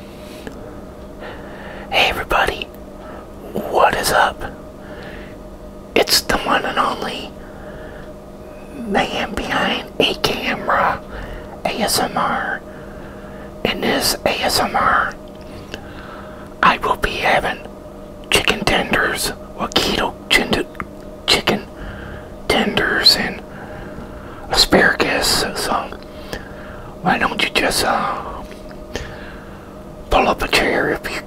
Hey everybody, what is up? It's the one and only man behind a camera ASMR. In this ASMR, I will be having chicken tenders, wakito chicken tenders, and asparagus. So why don't you just uh, pull up a chair if you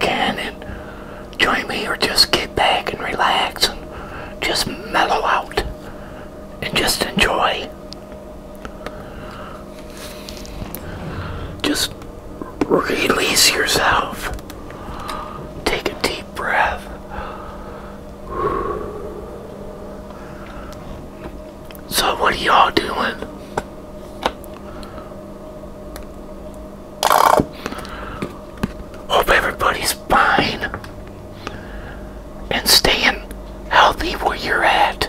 can and join me, or just get back and relax and just mellow out and just enjoy. Just release yourself. Take a deep breath so, what are y'all doing? Hope everybody's fine and staying healthy where you're at.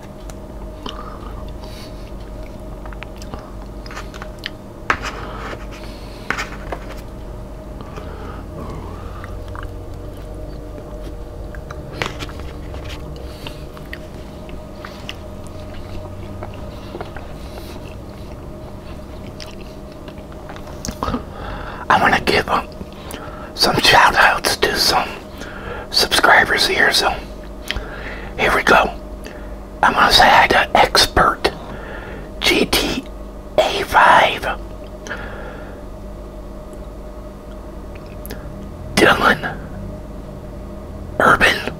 I want to give some shout outs to some subscribers here so here we go. I'm going to say I to Expert GTA 5. Dylan Urban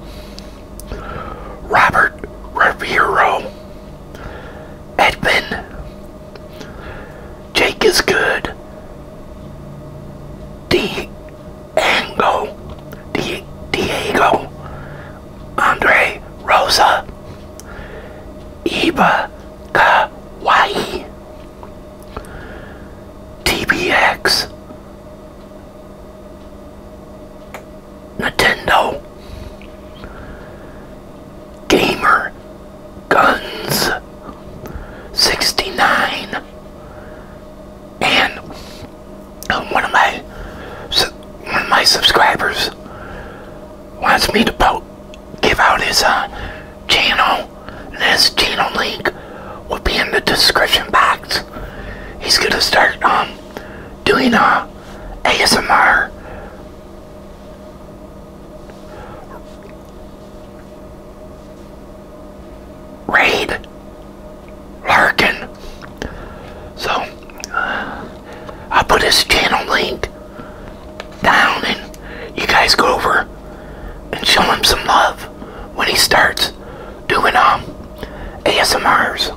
Robert Riviero Edmund Jake is good D Ango, Diego, Andre Rosa, Iba Kawaii, TBX, Nintendo, Gamer Guns 69 and uh, one of my one of my subscribers wants me to po give out his uh, channel, and his channel link will be in the description box. He's gonna start um, doing uh ASMR Raid Larkin. So uh, i put his channel link down and you guys go over and show him some love when he starts doing um ASMRs.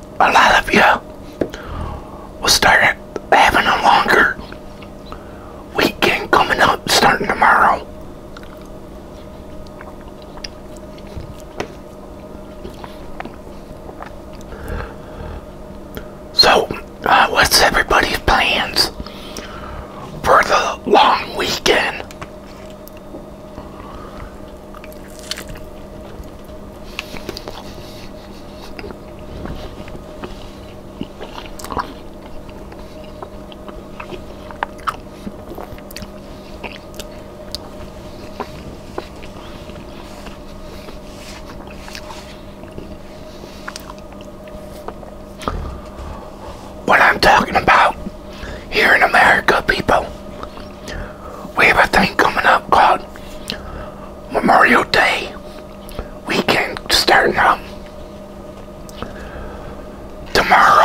a lot of you will start having a longer weekend coming up starting tomorrow. So, uh, what's everybody's plans for the long weekend? What I'm talking about here in America, people we have a thing coming up called Memorial Day weekend starting up tomorrow.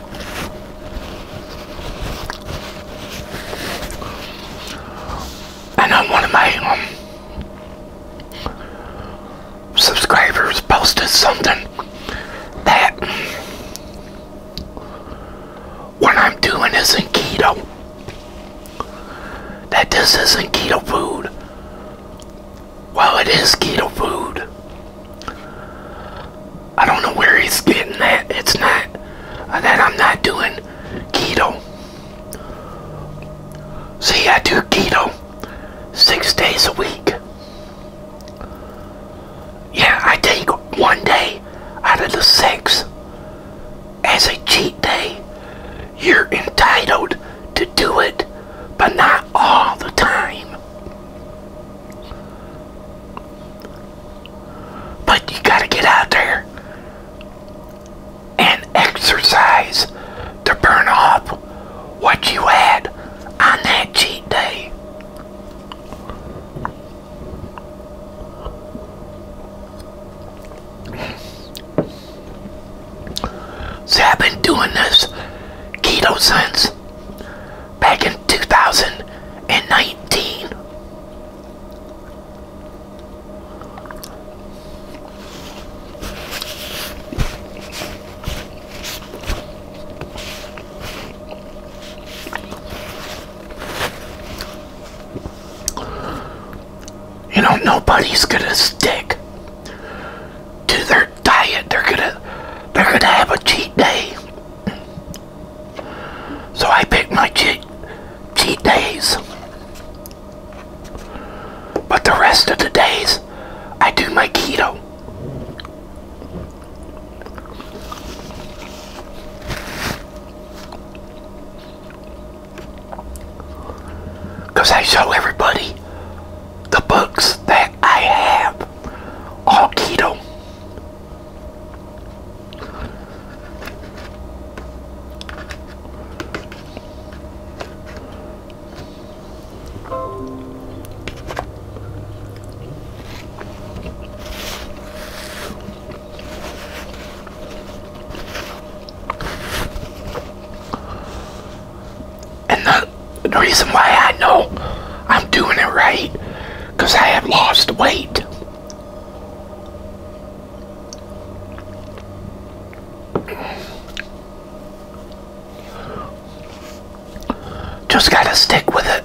I one of my um, subscribers posted something that what I'm doing isn't keto. That this isn't keto food. Well, it is keto food. I don't know where he's getting that. It's not uh, that I'm not doing keto. See, I do keto six days a week. Yeah, I take one day out of the six as a cheat day. You're entitled to do it, but not all the time. But you gotta get out there and exercise to burn off what you had on that cheat day. See, I've been doing this keto since back in 2019. You know, nobody's gonna stick to their diet. They're gonna, they're gonna have a cheat day. So I pick my cheat, cheat days. But the rest of the days, I do my keto. Because I show everybody the books that I have all keto. And the the reason why I know I'm doing it right, because I have lost weight. Just gotta stick with it.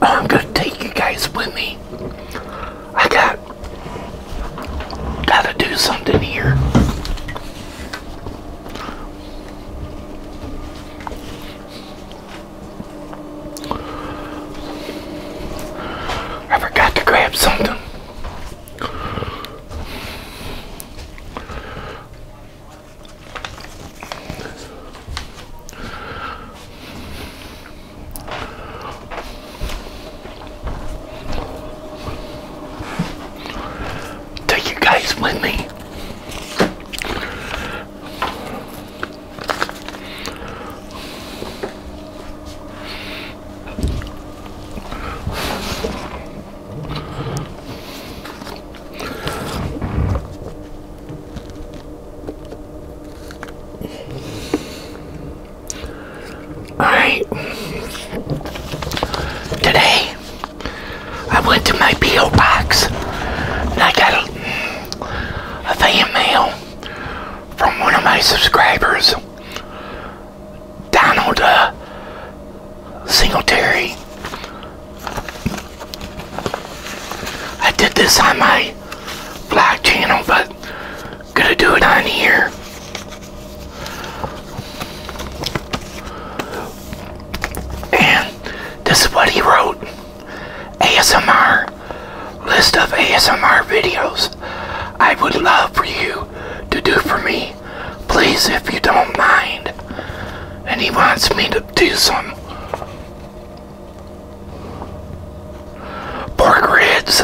I'm gonna take you guys with me. I got gotta do something here. I forgot to grab something. Take you guys with me. All right. Today, I went to my P.O. box and I got a, fan mail from one of my subscribers, Donald uh, Singletary. I did this on my vlog channel, but gonna do it on here. And this is what he wrote. ASMR. List of ASMR videos I would love for you to do for me please, if you don't mind. And he wants me to do some pork ribs,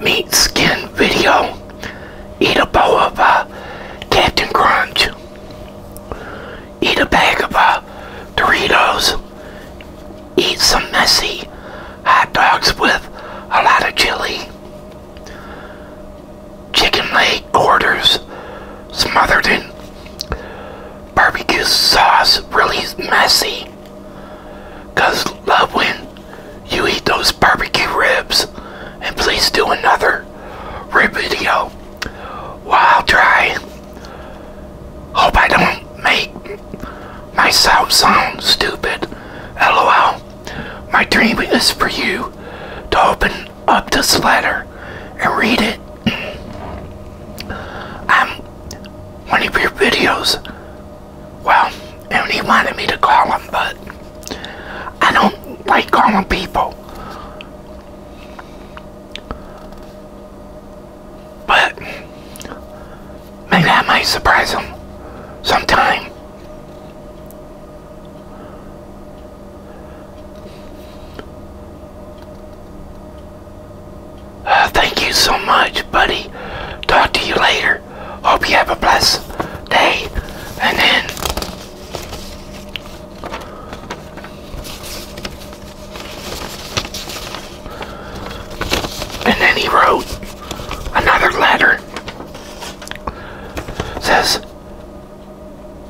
meat skin video, eat a bowl of uh, Captain Crunch, eat a bag of uh, Doritos, eat some messy hot dogs with a lot of chili chicken leg quarters smothered in barbecue sauce, really messy. Cause love when you eat those barbecue ribs. And please do another rib video while dry. Hope I don't make myself sound stupid. LOL. My dream is for you to open up this letter and read it I'm one of your videos well and he wanted me to call him but I don't like calling people but maybe I might surprise him sometime thank you so much, buddy. Talk to you later. Hope you have a blessed day. And then... And then he wrote another letter. Says...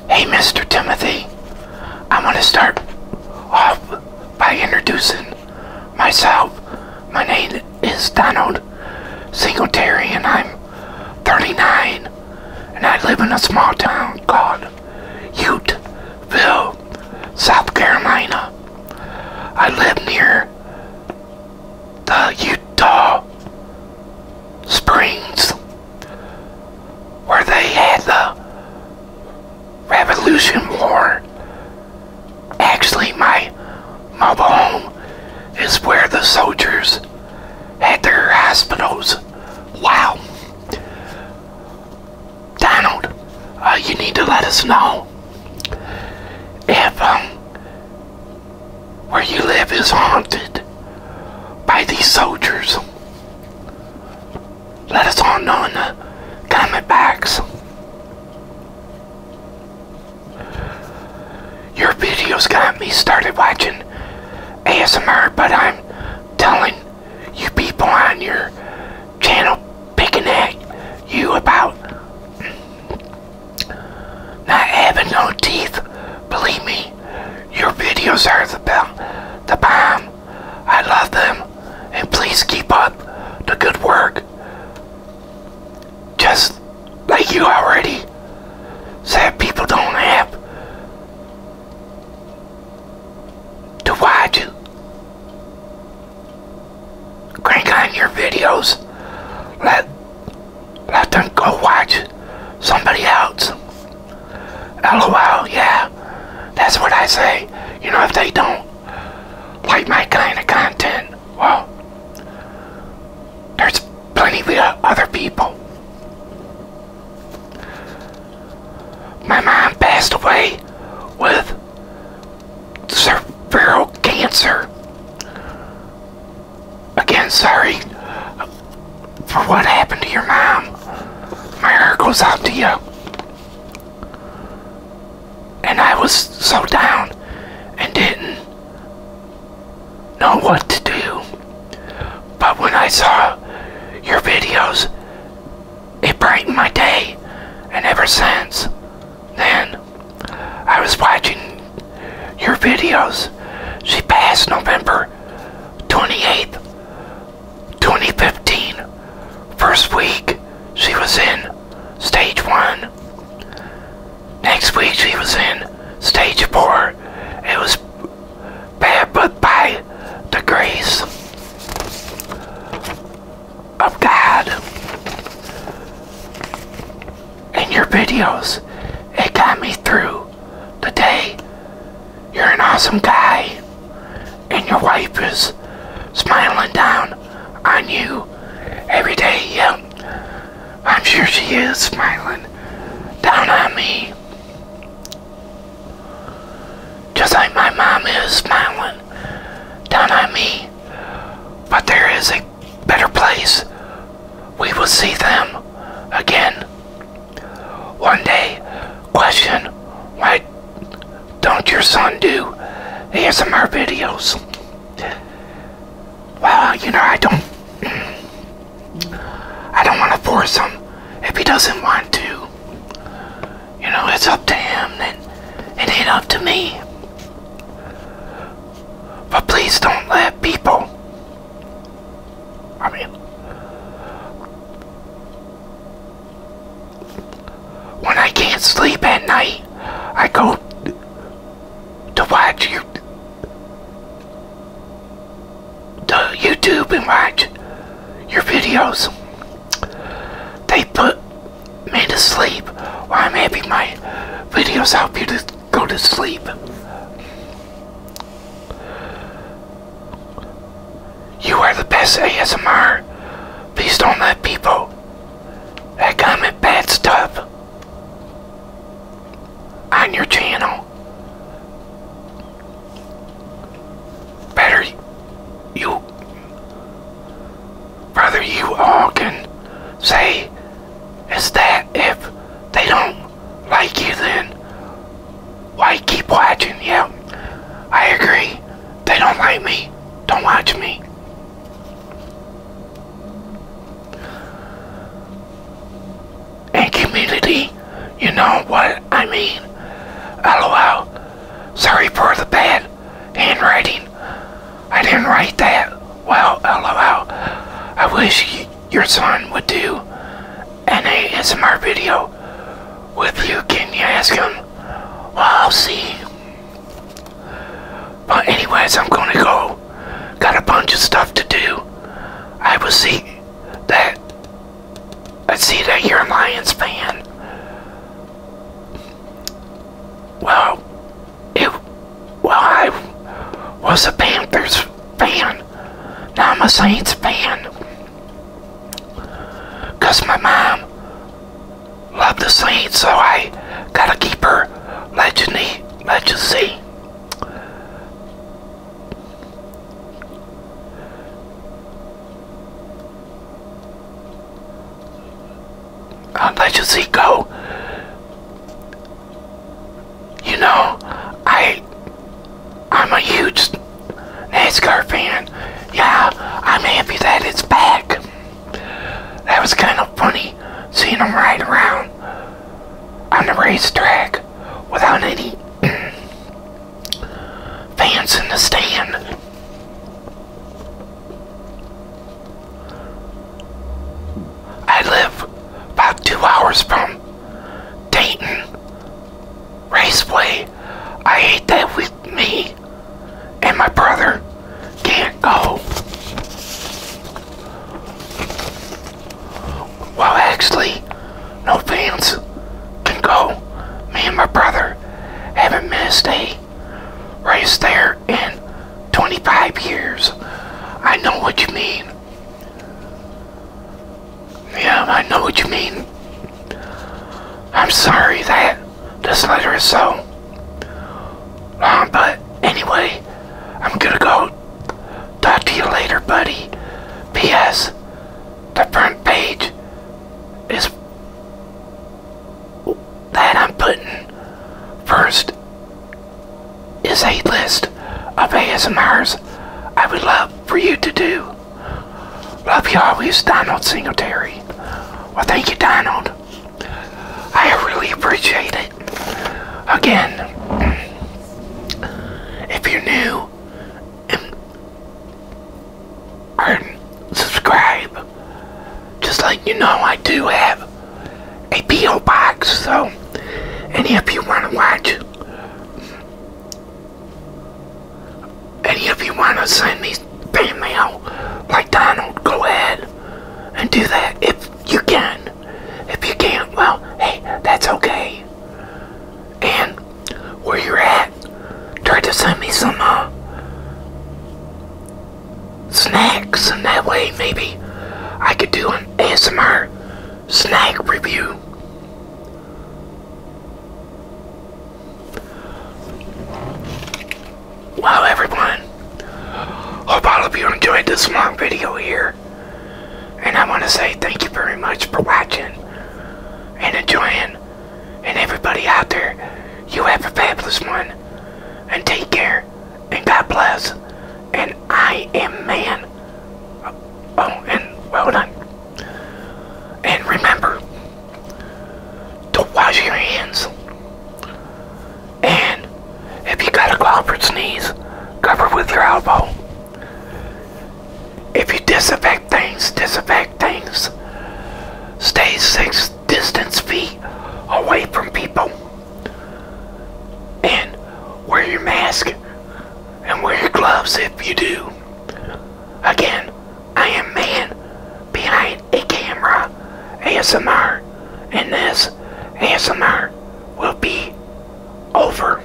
Hey, Mr. Timothy, I'm going to start off by introducing myself. My name is Donald Singletary, and I'm 39, and I live in a small town called Uteville, South Carolina. I live near the Utah Springs where they had the Revolution War. Actually, my mobile home is where the soldiers had their hospitals. Wow. Donald, uh, you need to let us know if um, where you live is haunted by these soldiers. Let us all know in the comment box. Your videos got me started watching ASMR, but I'm telling you people on your channel picking at you about not having no teeth, believe me, your videos are the, be- the bomb. I love them, and please keep up the good work. Just like you already said, people don't have to watch it. Crank on your videos. Let let them go watch somebody else. LOL, yeah. That's what I say. You know, if they don't like my kind of content, well, there's plenty of other people. My mom passed away with cerebral cancer Again, sorry for what happened to your mom. My heart goes out to you. And I was so down and didn't know what to do. But when I saw your videos, it brightened my day. And ever since then, I was watching your videos. She passed November 28th, 2015. First week, she was in stage one. Next week, she was in stage four. It was bad, but by degrees. grace God, in your videos. It got me through the day. You're an awesome guy, and your wife is smiling down on you every day. Yep, I'm sure she is smiling down on me. Just like my mom is smiling down on me. But there is a better place, we will see them again. One day, question, why don't your son do ASMR videos? Well, you know, I don't, I don't want to force him if he doesn't want to. You know, it's up to him and it ain't up to me. But please don't let people, I mean, when I can't sleep at night, I go to watch you, to YouTube and watch your videos. They put me to sleep, or I'm happy my videos help you to go to sleep. You are the best ASMR. Please don't let people that comment bad stuff on your channel. Better you brother you all can say is that if they don't like you then why keep watching you? I agree they don't like me don't watch me and community you know what I mean lol sorry for the bad handwriting. I didn't write that. Well, lol. I wish your son would do an ASMR video with you. Can you ask him? I'll see. But anyways, I'm going to go. Got a bunch of stuff to do. I will see that. I see that you're a Lions fan well, it, well, I was a Panthers fan. Now I'm a Saints fan. Because my mom loved the Saints, so I gotta keep her legendary legacy unless you see go. You know, I I'm a huge NASCAR fan. Yeah, I'm happy that it's back. That was kind of funny seeing him ride around on the racetrack without any fans in the stand. I live about two hours from Dayton Raceway. I hate that with me and my brother can't go. Well, actually, no fans can go. Me and my brother haven't missed a race there in 25 years. I know what you mean. Yeah, I know what you mean. I'm sorry that this letter is so long, but anyway, I'm gonna go talk to you later, buddy. P.S. The front page is that I'm putting first is a list of ASMRs I would love for you to do. Love you always, Donald Singletary. Well, thank you, Donald. I really appreciate it. Again, if you're new and subscribe. Just like you know, I do have a P.O. box, so any of you want to watch, any of you want to send me fan mail like Donald, go ahead and do that if you can. If you can't, well, hey, that's okay. And where you're at, Try to send me some uh, snacks, and that way maybe I could do an ASMR snack review. Wow, everyone, hope all of you enjoyed this long video here. And I want to say thank you very much for watching and enjoying and everybody out there, you have a fabulous one. And take care. And God bless. And I am man. Oh, and well done. And remember to wash your hands. And if you got a cough or sneeze, cover with your elbow. If you disinfect things, disinfect things Stay six distance feet away from people. And wear your mask and wear your gloves if you do. Again, I am man behind a camera ASMR and this ASMR will be over.